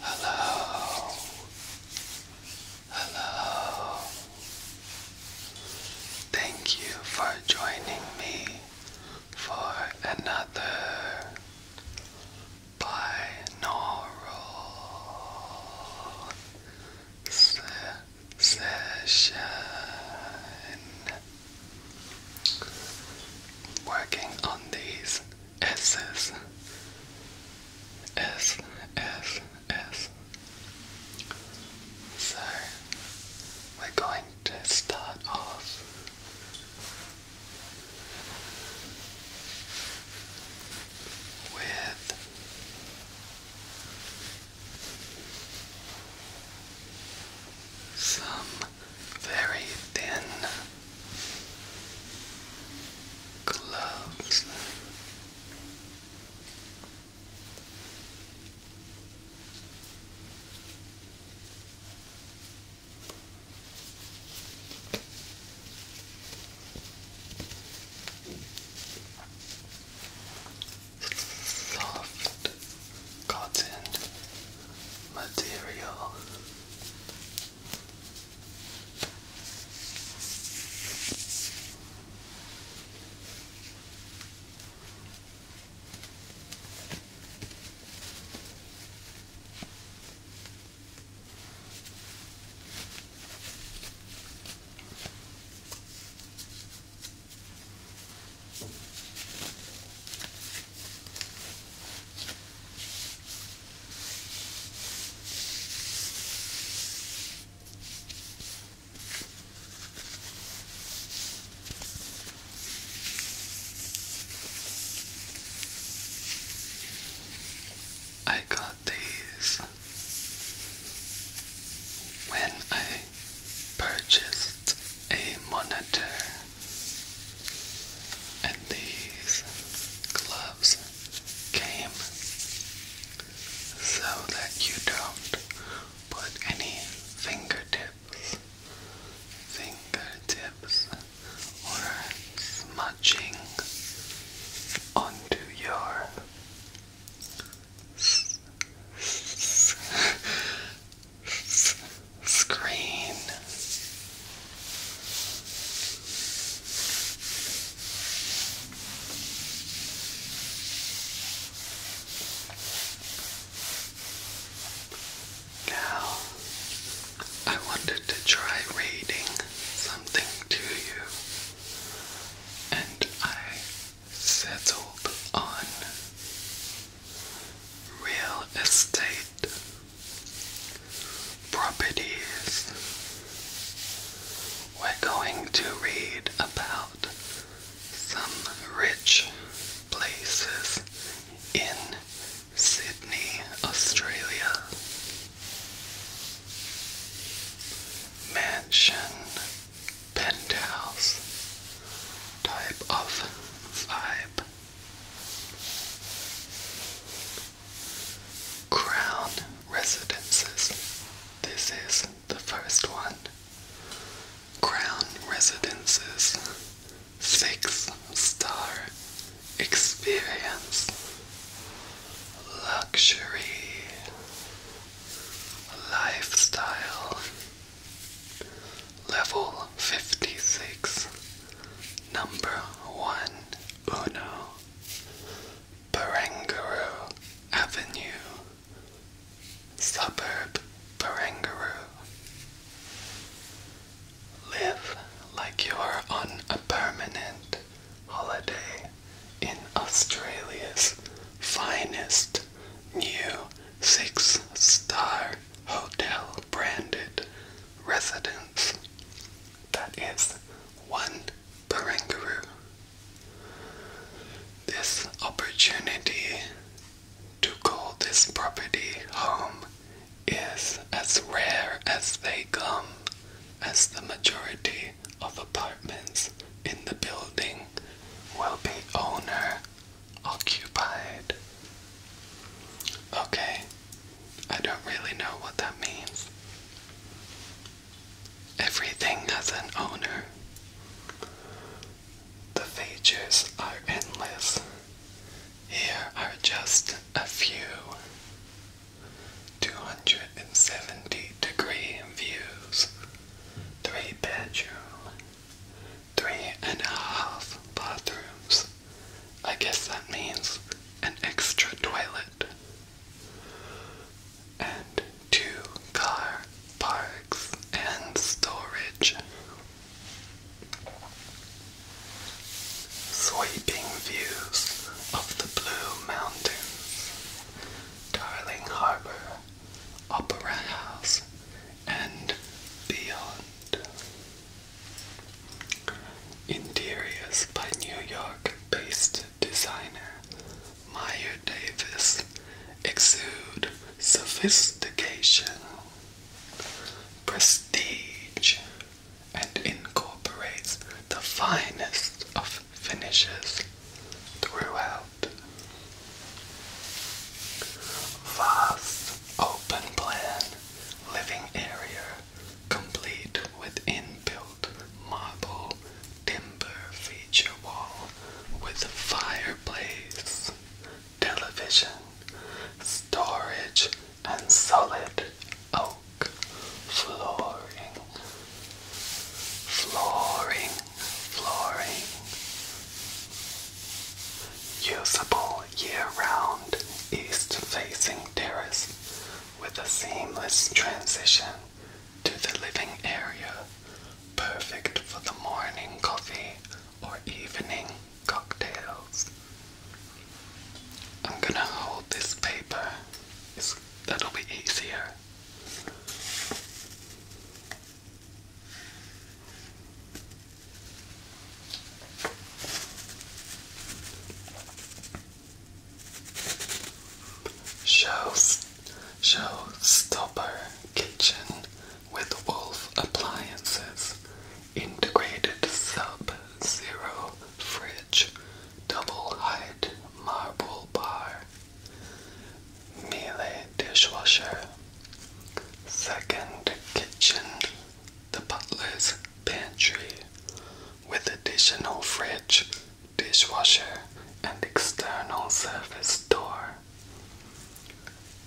Hello. Hello. Thank you for joining me for another binaural session. Working on these S's. S, S, S. So, we're going to start off with some very thin gloves soft cotton material. I got these when I purchased a monitor and these gloves came so that you don't put any fingertips, fingertips or smudging onto your screen. Now, I wanted to try reading something to you, and I settled on real estate properties. We're going to read about some rich places in Sydney, Australia. Mansion penthouse type of vibe. Crown Residences. This is the first one. Crown Residences. Six star experience. Luxury. Lifestyle. Level 56, number 1, Uno, Barangaroo Avenue, suburb Barangaroo. Live like you're on a permanent holiday in Australia's finest new six star hotel branded residence. That is one Barangaroo. This opportunity to call this property home is as rare as they come, as the majority of apartments in the building will be owner occupied. Okay, I don't really know what that means. Everything has an owner. The features are endless. Here are just a few 270 degree views, 3 bedroom, three and a half bathrooms. I guess that means an extra toilet. And two car parks and storage. Sweeping views of the Blue Mountains, Darling Harbor, Opera House, and beyond. Interiors by New York based designer Meyer Davis exude sophistication, prestige, and incorporates the finest of finishes throughout. Vast, open plan, living area, complete with inbuilt marble timber feature wall with fireplace, television, storage, and solid oak flooring. Flooring flooring. Usable year-round east-facing terrace with a seamless transition to the living area, perfect for the morning coffee or evening cocktails. I'm gonna hold this paper. that'll be easier. Show, Showstopper Kitchen with Wolf Appliances Integrated Sub Zero Fridge Double Height Marble Bar Miele Dishwasher Second kitchen, the butler's pantry, with additional fridge, dishwasher, and external service door.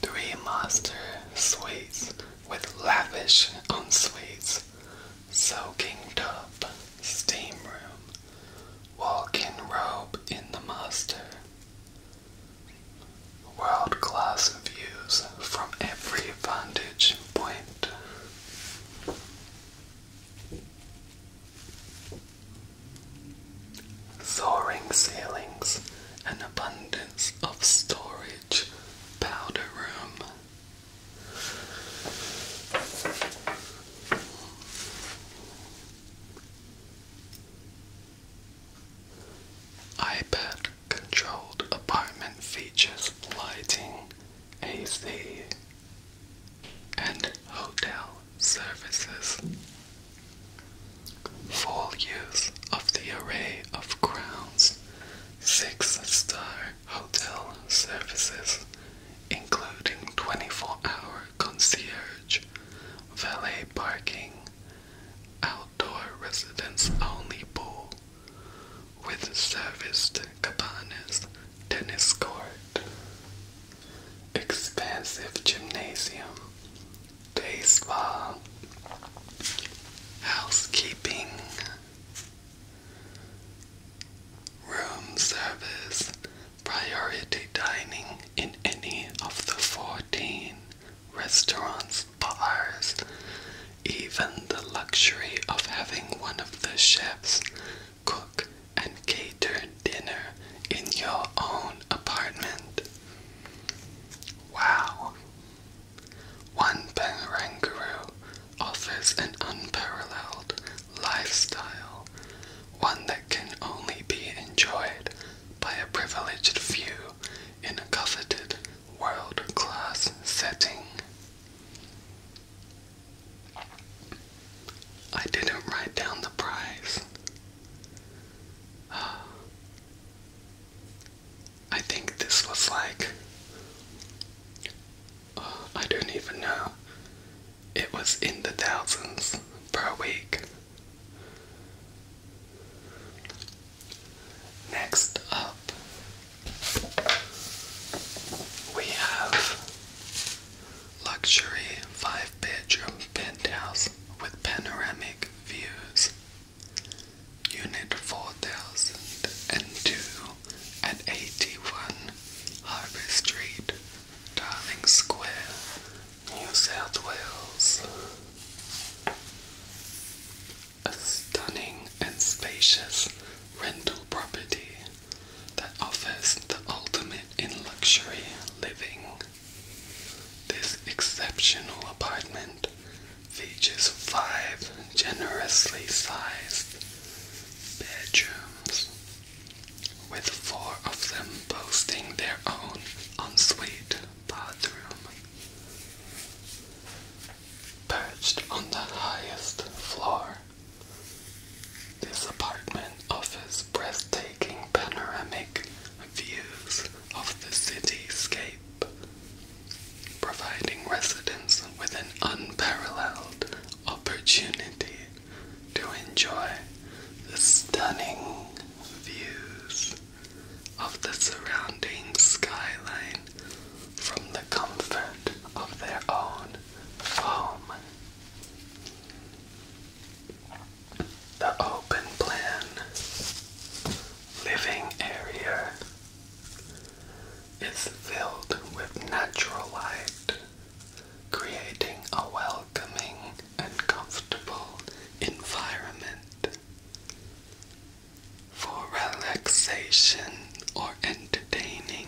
Three master suites with lavish ensuite, soaking tub, steam room, walk-in robe in the master world-class views from every vantage point. Soaring ceilings, an abundance of storage, powder room iPad controlled apartment features lighting, AC, and hotel services. Full use of the array of grounds. six star hotel services, including 24 hour concierge, valet parking, outdoor residents-only pool with serviced cabanas, tennis court, expansive gymnasium, baseball, housekeeping, room service, priority dining in any of the 14 restaurants, bars, even the luxury of having one of the chefs cook and cater dinner in your own apartment. Wow! One Bangaranguru offers an unparalleled lifestyle, one that can only be enjoyed by a privileged few in a coveted world class setting. I didn't write down the prize. I think this was like, I don't even know. It was in the thousands per week Next up, we have luxury five bedroom penthouse with panoramic views. Unit 4002 at 81 Harbour Street, Darling Square, New South Wales. A stunning and spacious rental property that offers the ultimate in luxury living. This exceptional apartment features five generously sized bedrooms, with four of them boasting their own ensuite bathroom. Perched on the highest floor, this apartment offers breathtaking panoramic views of the cityscape, providing residents with an unparalleled opportunity to enjoy the stunning views of the surrounding skyline from the comfort of their own home. The open plan living area is filled with natural light, creating a welcoming and comfortable environment for relaxation or entertaining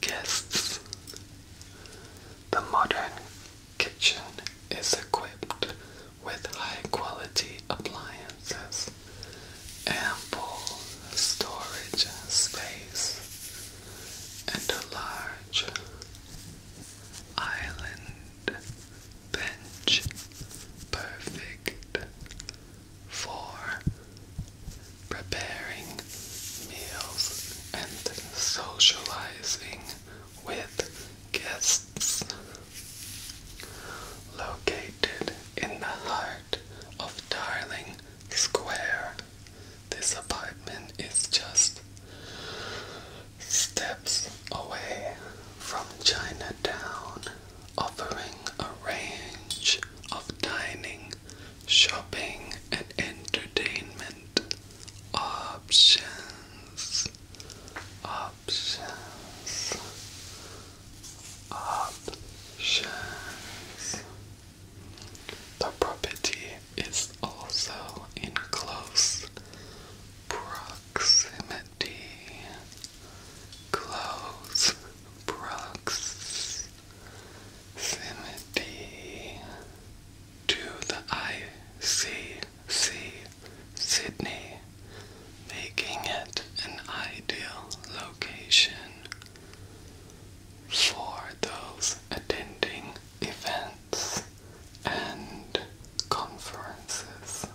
guests. The modern kitchen is equipped with high quality appliances, ample storage space, and a large island perfect for preparing meals and socializing with guests. Located in the heart of Darling Square, this apartment is just steps away from Chinatown, offering a range of dining, shopping, and entertainment options. Options. Options. The property is also in close proximity Close, proximity to the ICC, Sydney, making it an ideal location for those attending events and conferences.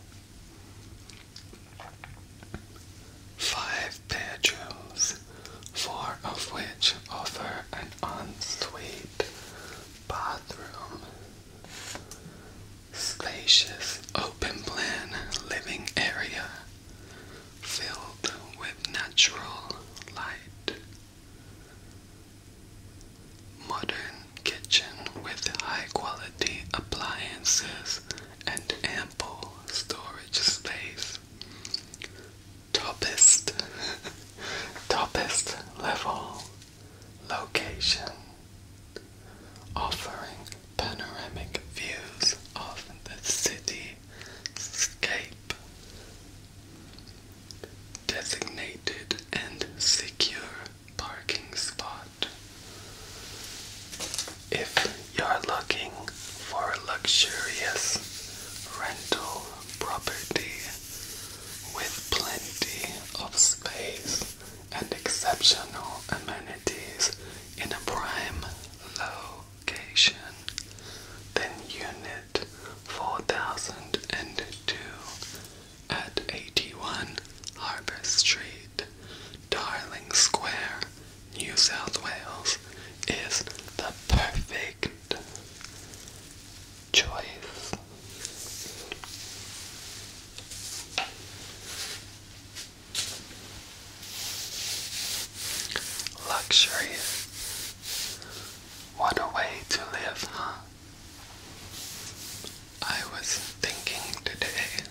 Five bedrooms, four of which offer an ensuite bathroom. Spacious open plan living area filled with natural light. Modern kitchen with high quality appliances and ample storage space. Toppest, toppest level location offering panoramic views of the city Designated and secure parking spot if you're looking for a luxurious rental property with plenty of space and exceptional amenities in a prime location, then unit 4002 at 81 Harbour Street, Darling Square, New South Wales, is the perfect choice. Luxury. What a way to live, huh? I was thinking today,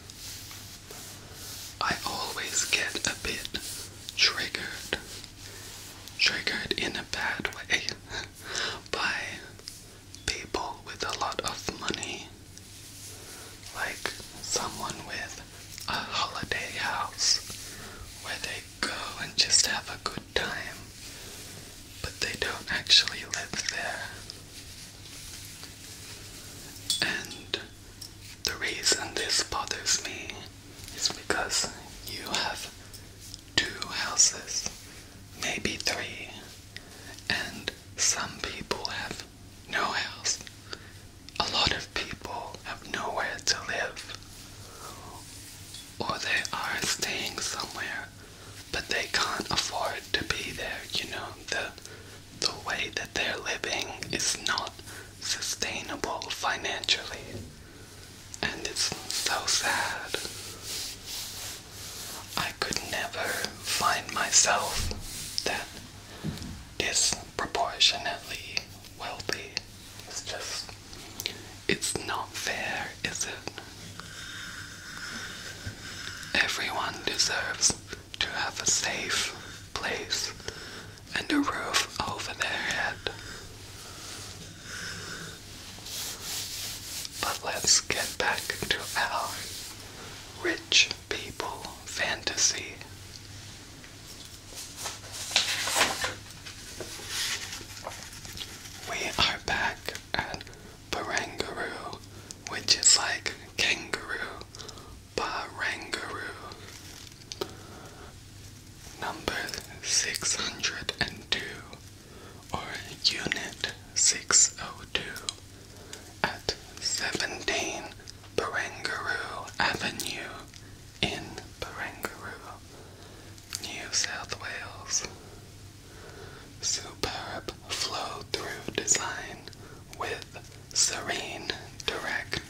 I always get a bit triggered, triggered in a bad way, by people with a lot of money. Like someone with a holiday house where they go and just have a good time, but they don't actually live there. And the reason this bothers me is because you have two houses, maybe three, and some people have no house. A lot of people have nowhere to live, or they are staying somewhere, but they can't afford to be there. You know, the the way that they're living is not sustainable financially. And it's so sad. I could never find myself that disproportionately wealthy. It's just, it's not fair, is it? Everyone deserves to have a safe place and a roof over their head. But let's get back to our rich people fantasy. We are back at Barangaroo, which is like kangaroo. Barangaroo. Number 602, or Unit 602, at 17 Barangaroo Avenue in Barangaroo, New South Wales. Superb flow through design with serene, direct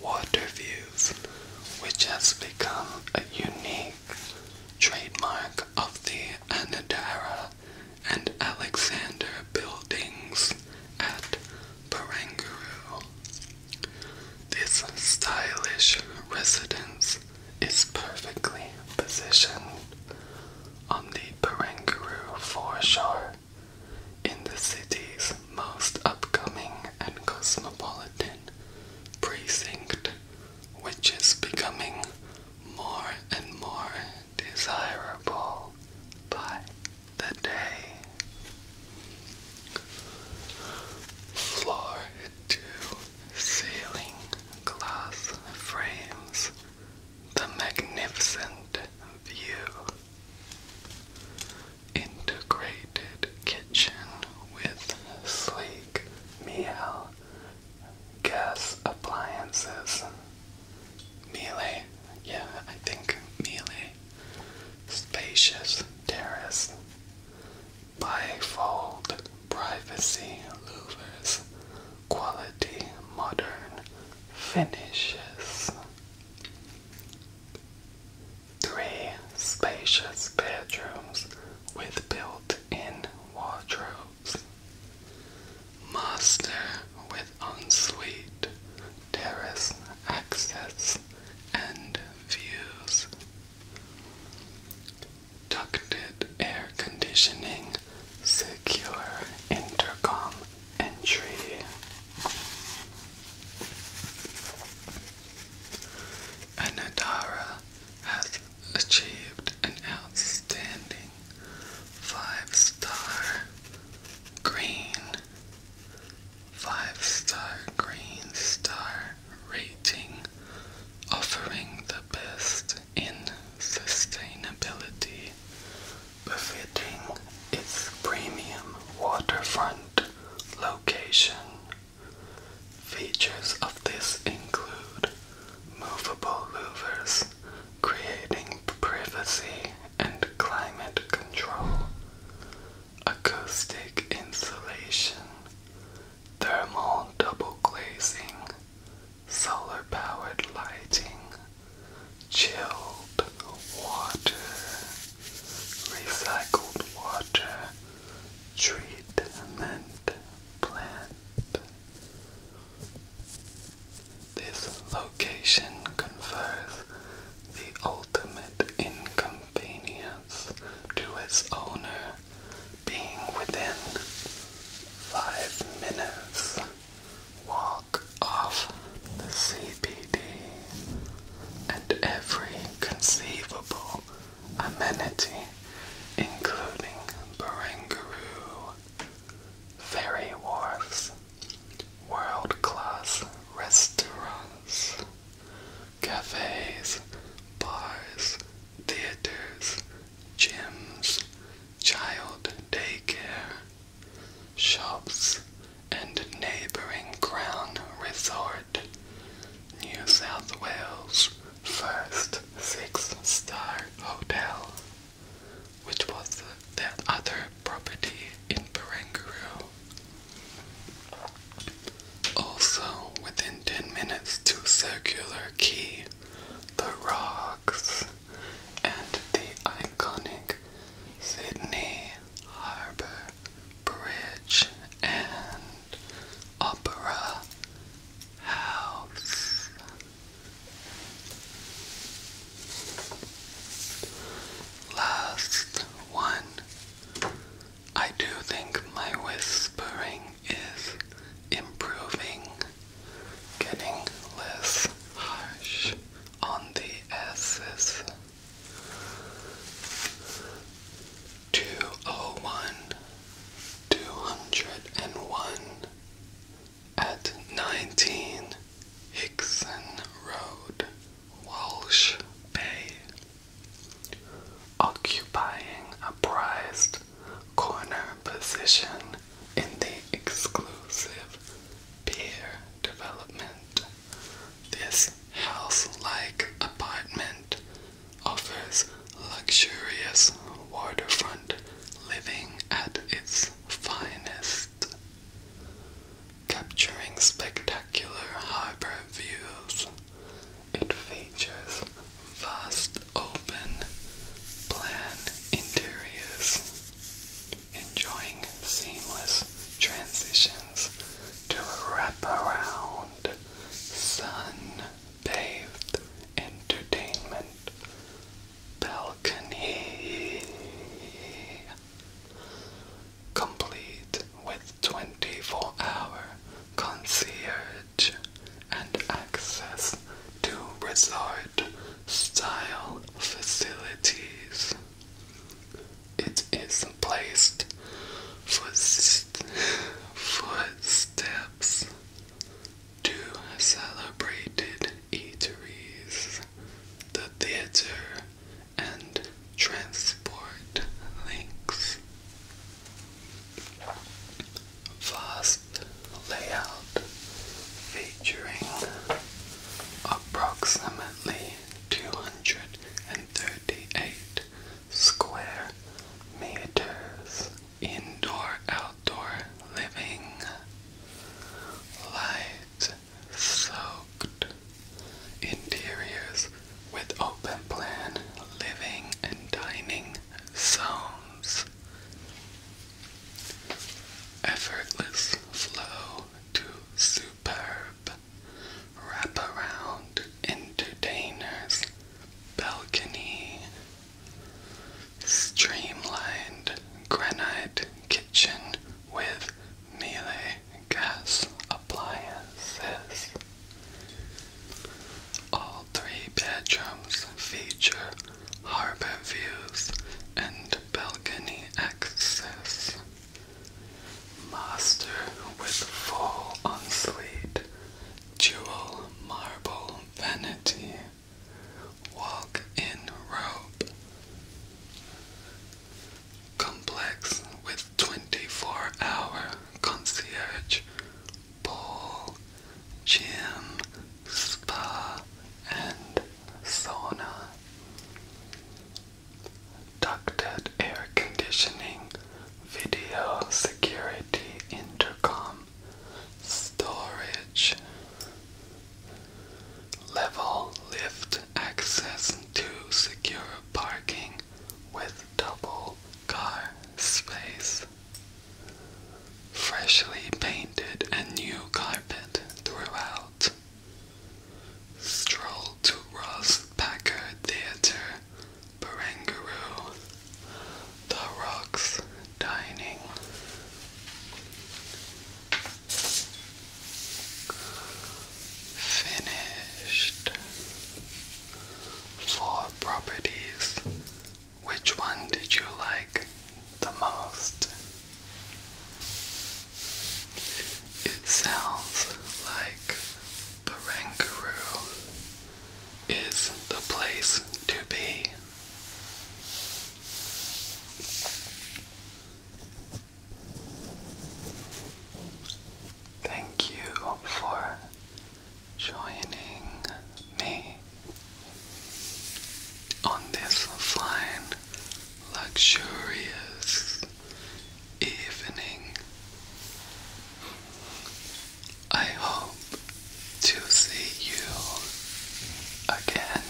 water views, which has become a unique trademark of the Anadara and Alexander buildings at Barangaroo. This stylish residence is perfectly positioned on the Barangaroo foreshore in the city's most upcoming and cosmopolitan precinct, which is becoming more and more desirable by the day. Floor to ceiling glass frames the magnificent view. Integrated kitchen with sleek meal gas appliances. Melee, yeah, I think melee. Spacious terrace. Bifold privacy louvers quality modern finishes. Three spacious bedrooms with built in wardrobes. Master with ensuite, terrace access, and views. Ducted air conditioning secure intercom entry. Anadara has achieved an outstanding five star green, five star green star rating, offering the best in sustainability befitting its premium waterfront location. Features of this include movable louvers, creating privacy and climate control, acoustic insulation, thermal double glazing, solar powered lighting, chilled water, recycled water, treatment plant. This location confers the ultimate inconvenience to its owner being within five minutes walk off the CBD and every conceivable amenity, including Barangaroo, ferry wharfs, world-class restaurants, cafes, bars, theaters, gyms, child daycare, shops, and neighbouring Crown Resort, New South Wales' first six-star hotel, which was their other property in Barangaroo. Also, within 10 minutes to Circular Quay, the Rocks and the iconic Sydney Harbour Bridge and Opera House. Last one. I do think my whispering is improving, getting less harsh on the S's. 201 at 19 Hickson Road, Walsh Bay, occupying a prized corner position in the exclusive pier development. This house-like apartment offers luxurious waterfront living at its finest, capturing spectacular harbor views. It features vast open plan interiors, enjoying seamless transitions to a wraparound, sun-bathed entertainment balcony. Complete with 24 hour concierge and access to resort style facilities. It is placed for footsteps to celebrated eateries, the theater, and transport links. Vast layout featuring approximately 238 square meters indoor outdoor living light soaked interiors with open plan living and dining zones effortless flow Two superb wraparound entertainers balcony, streamlined granite kitchen with melee gas appliances. All three bedrooms feature harbor views and balcony access. Master with fall on slate, jewel marble vanity, walk in robe. Complex with 24 hour concierge, bowl, gym, spa, and sauna ducted air conditioning, video security intercom, storage, level lift access to secure parking with double car space. Freshly painted and new carpet throughout. Stroll to Ross Theatre, Barangaroo, The Rocks Dining. Finished. Four properties. Which one did you like the most? It sounds like Barangaroo is the place to be. Thank you for joining me on this fine, luxurious evening. I hope to see you again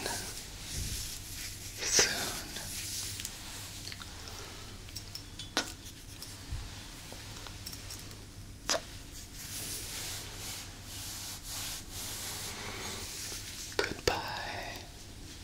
soon. Goodbye.